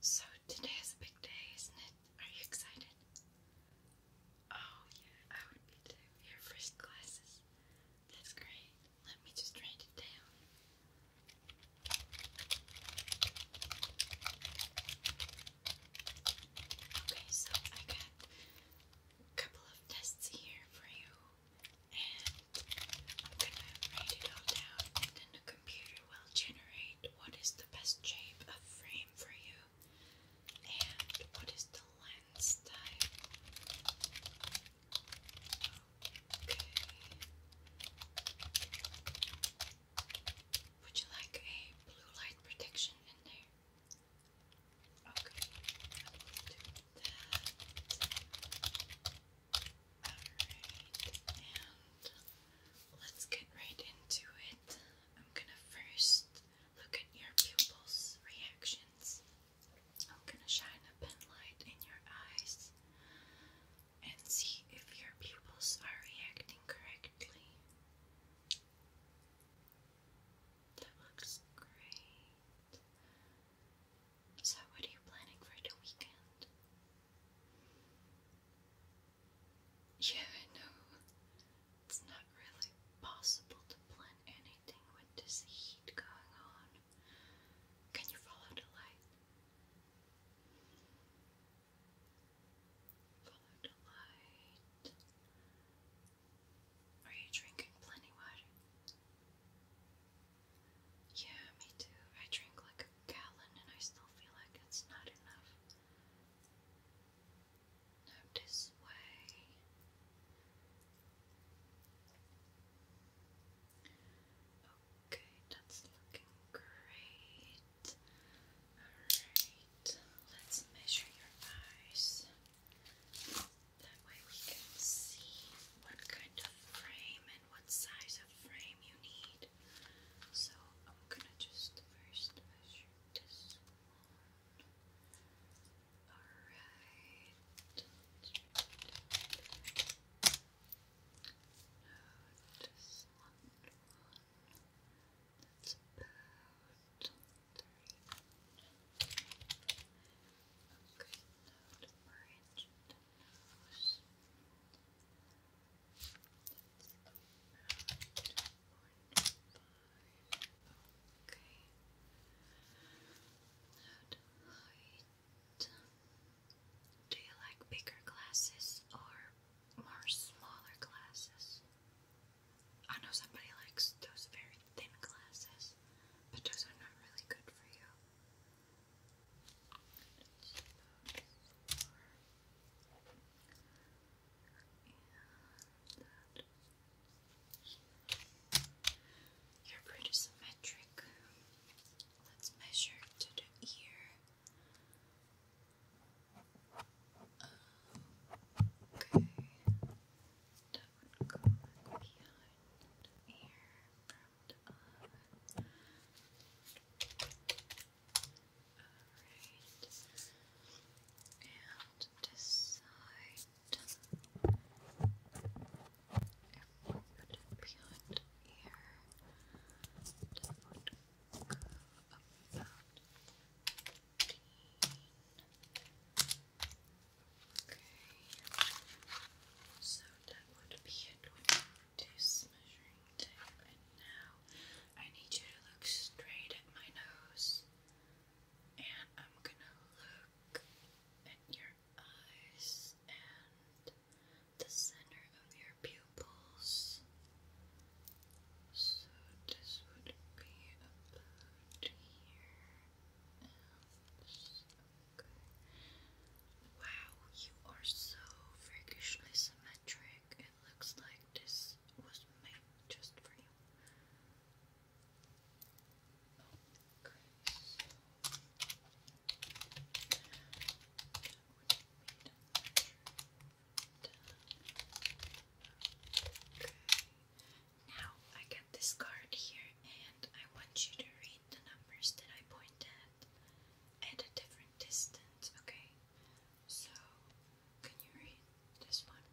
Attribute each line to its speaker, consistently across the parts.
Speaker 1: So today is a big day, isn't it? Are you excited? Oh yeah, I would be Your first classes. That's great. Let me just write it down. Okay, so I got a couple of tests here for you, and I'm gonna write it all down then computer will generate what is the best shape of frame for you and what is the lens type. Okay. Would you like a blue light protection in there? Okay, and let's get right into it. I'm gonna first look at your pupils' reactions. I'm gonna shine a pen in your eyes and see if your pupils are reacting correctly. That looks great. So, what are you planning for the weekend? Yeah, I know. It's not really possible to plan anything with this heat going on. Can you follow the light? Follow the light. Are you drinking plenty water? Yeah, me too. I drink like a gallon and I still feel like it's not enough. this way. Okay, that's looking great. Alright, let's measure your eyes. That way we can see what kind of frame what size of frame you need. So I'm gonna just first measure this Alright. that's about three. Okay, do you like bigger glasses or more smaller glasses? I know somebody likes those very thin glasses, but those are not really good for you. You're pretty symmetric. Let's measure to the ear. Okay, that would go behind the ear, of. Alright. And this If we could put here, that would Okay. So that would be it measuring tape. And now I need you to look straight at my nose. And I'm gonna look at your eyes and the center of your pupils. So this would be about here. Wow, you are so freakishly symmetric. It looks like this was made just for you. Okay. Now I get this card here and I want you to read the numbers that I point at at a different distance, okay? So, can you read this one?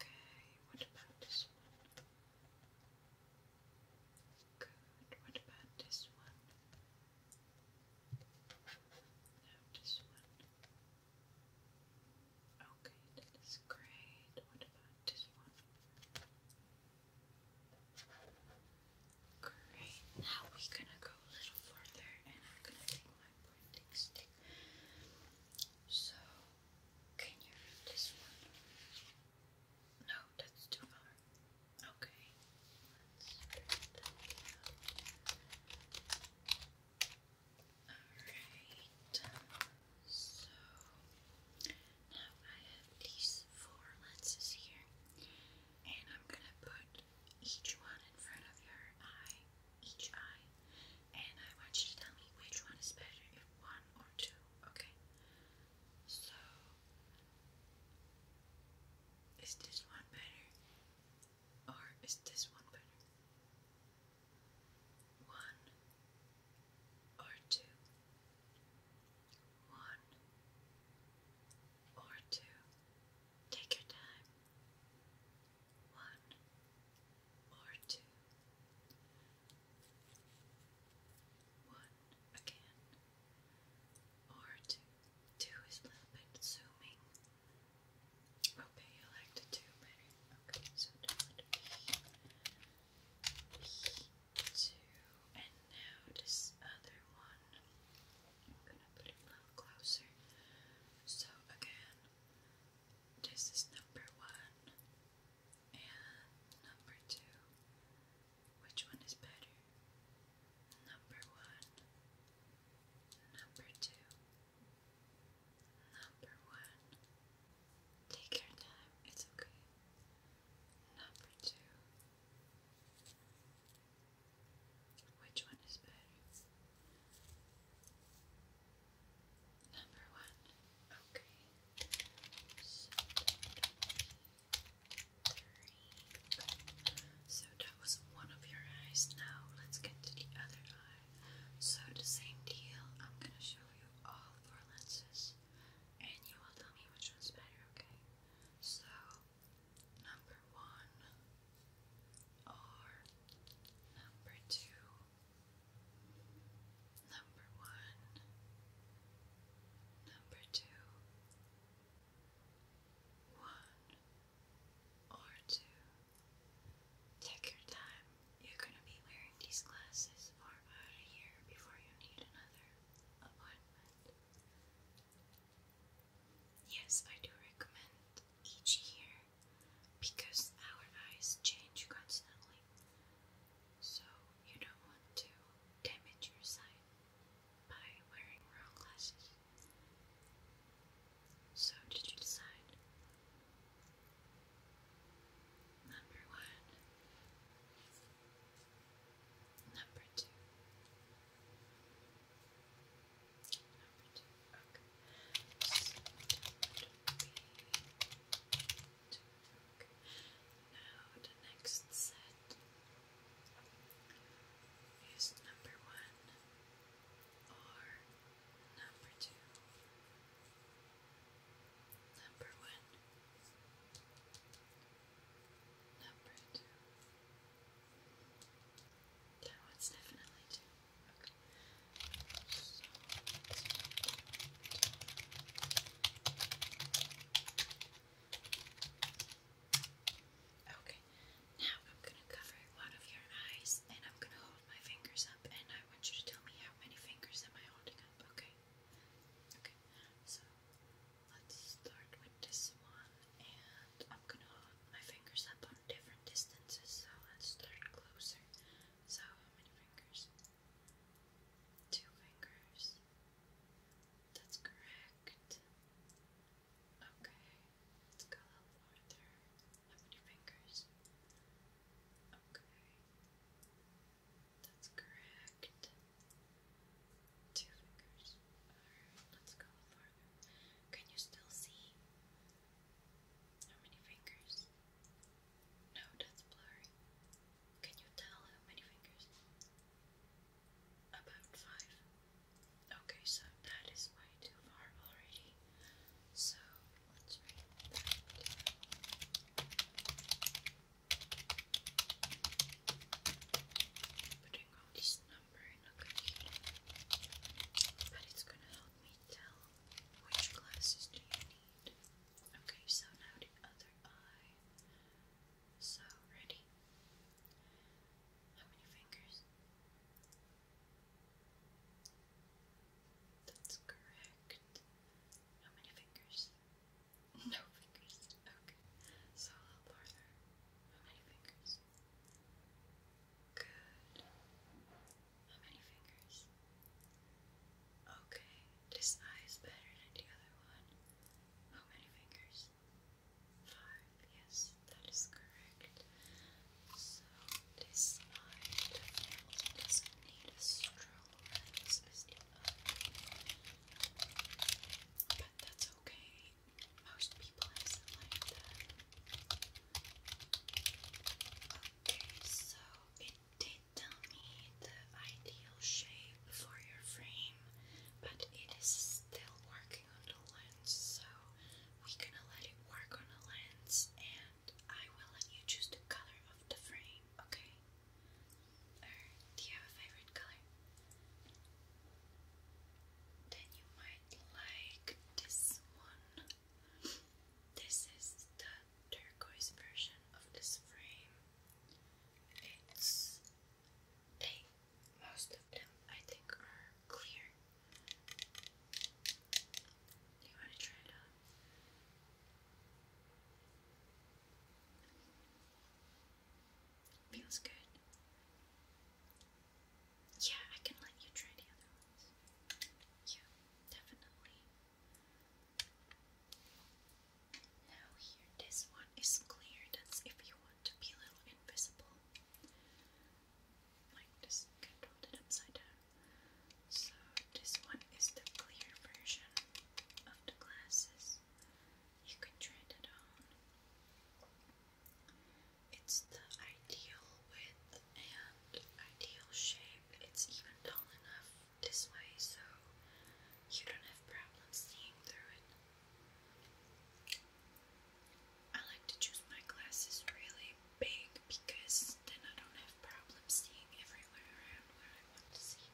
Speaker 1: Okay, what about this one? Good, what about this one? this one. Okay, that is great. What about this one? Great. Now we're gonna go a little further and I'm gonna take my pointing stick. So, can you read this one? No, that's too far. Okay. Alright, so now I have these four lenses here, and I'm gonna put each one in front of your eye, each eye, and I want you to tell me which one is better, if one or two, okay? So, is this one better? Or is this one better? one or two, one or two. Take your time, one or two, one again, or two. Two is a little bit zooming. Okay, you like the two better. Okay, so two, and now this other one. I'm gonna put it a little closer. So again, this is number one and number two. Which one is better? Number one, number two. Number one, take your time, it's okay. Number two, which one is better? Number one, okay. three. So that was one of your eyes. Now let's get to the other eye. So the same deal, I'm gonna show you all four lenses and you will tell me which one's better, okay? So number one or number two number one number two one or two Take your time. You're going to be wearing these glasses for about a year before you need another appointment. Yes, I do recommend each year because our eyes change constantly. So you don't want to damage your sight by wearing wrong glasses. So, did you decide? Number one, number two, number two, okay. So, two, okay. Now, the next set is number one or number two, number one, number two. That one's definitely two. Okay. Okay, now I'm going to cover one of your eyes and I'm going to hold my fingers up and I want you to tell me how many fingers am I holding up, okay? Okay, so let's start with this one and I'm going to hold my fingers up on different distances, so let's start closer. So, how many fingers? Two fingers. That's correct. Okay, let's go a little farther. How many fingers? Okay. That's correct. Two fingers. Alright, let's go farther. Can you still see? How many fingers? No, that's blurry. Can you tell how many fingers? About five. Okay, so that is way too far already. So let's bring it Putting all this number in a computer, but it's gonna help me tell which glasses do you need. Okay, so now the other eye. So ready. How many fingers? That's correct. How many fingers? No fingers. Okay. So a How many fingers? Good. How many fingers? Okay. This eye is better than the other one. How many fingers? Five. Yes, that is correct. So this side also does a strong lens as the other. But that's okay. Most people have like that. Okay, so it did tell me the ideal shape for your frame, but it is still working on the lens, so we're gonna let it work on the lens, and I will let you choose the color of the frame, okay? do you have a favorite color? Then you might like this one. This is the turquoise version of this frame. It's pink most of them, I think, are clear. You want to try it out? Feels good. Yeah, I can let you try the other ones. Yeah, definitely. Now, here, this one is clear. That's if you want to be a little invisible like just controlled it upside down. So this one is the clear version of the glasses. You can try that on. It's the ideal width and ideal shape. It's even tall enough this way so you don't have problems seeing through it. I like to choose my glasses really big because then I don't have problems seeing everywhere around where I want to see.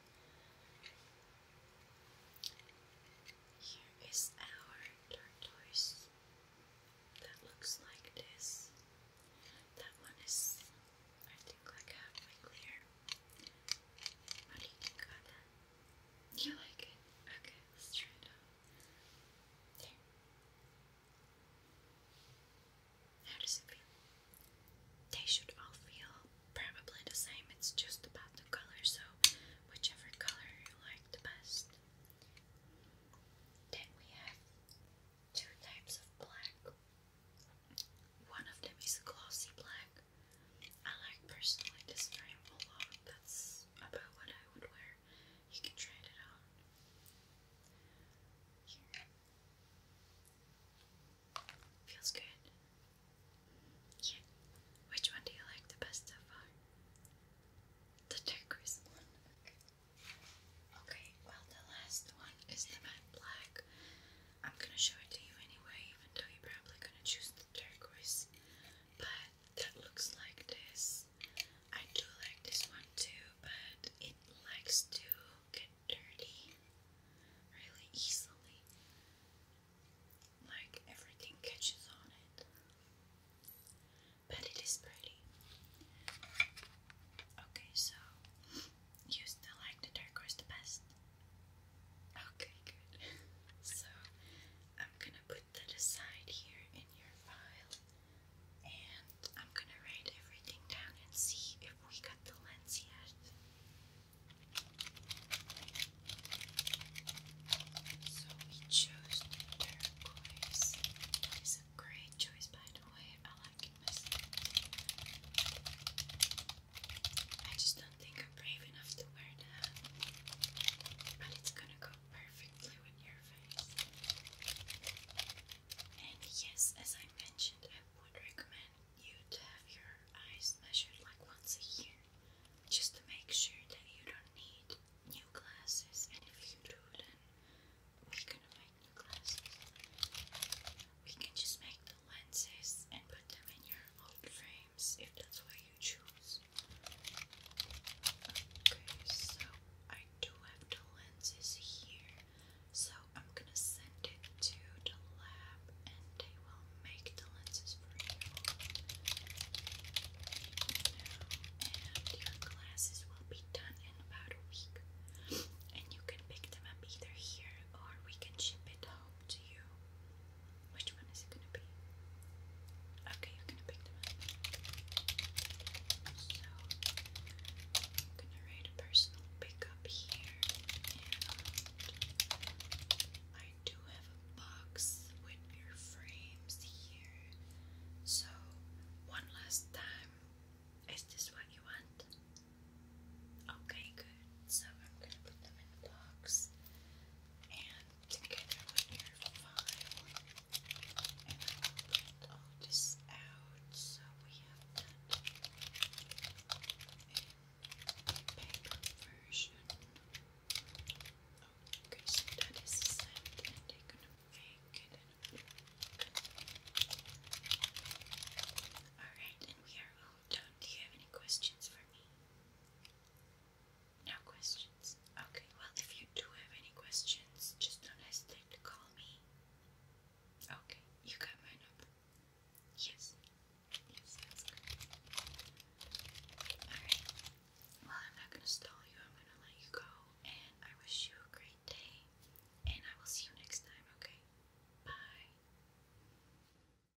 Speaker 1: Here is our tortoise that looks like this. That one is, I think, like halfway clear. How do you think about that? You like it? Okay, let's try it out. How does it feel? They should all feel probably the same, it's just about the color, so whichever color you like the best. Then we have two types of black. One of them is glossy black, I like personally this frame a lot. That's about what I would wear. You can try it on. Feels good. Yeah. Which one do you like the best so far? The turquoise one. Okay. well, the last one is the black. I'm gonna show it to you anyway, even though you're probably gonna choose the turquoise. But that looks like this. I do like this one too, but it likes to get dirty really easily. Like everything catches on it. But it is pretty. Okay, so you still like the turquoise the best? Okay, good. so I'm gonna put that aside here in your file and I'm gonna write everything down and see if we got the lens yet. So we chose turquoise. That is a great choice by the way. I like it I just don't do think I'm brave enough to wear that. But it's gonna go perfectly with your face. And yes, as I mentioned, I would recommend you to have your eyes measured like once a year. Just to make sure that you don't need new glasses. And if you do, then we're make new glasses. We can just make the lenses and put them in your old frame if that's what you choose. Okay, so I do have the lenses here, so I'm gonna send it to the lab and they will make the lenses for you. and your glasses will be done in about a week. And you can pick them up either here or we can ship it home to you. Which one is it going to be? Okay, you're going to pick them So, I'm going to write a personal pickup here. Um, I do have a box with your frames here. So, one last time. Is this what you want? Okay, good. So, I'm going to put them in the box. And together when you're fine. And I will print out so we have that in paper version. Okay, that is set and they Alright, and we are all done. Do you have any questions for me? No questions. Okay, well, if you do have any questions, just don't hesitate to call me. Okay, you got my number. Yes. Yes, that's Well, I'm not gonna stall you. I'm gonna let you go. And I wish you a great day. And I will see you next time, okay? Bye.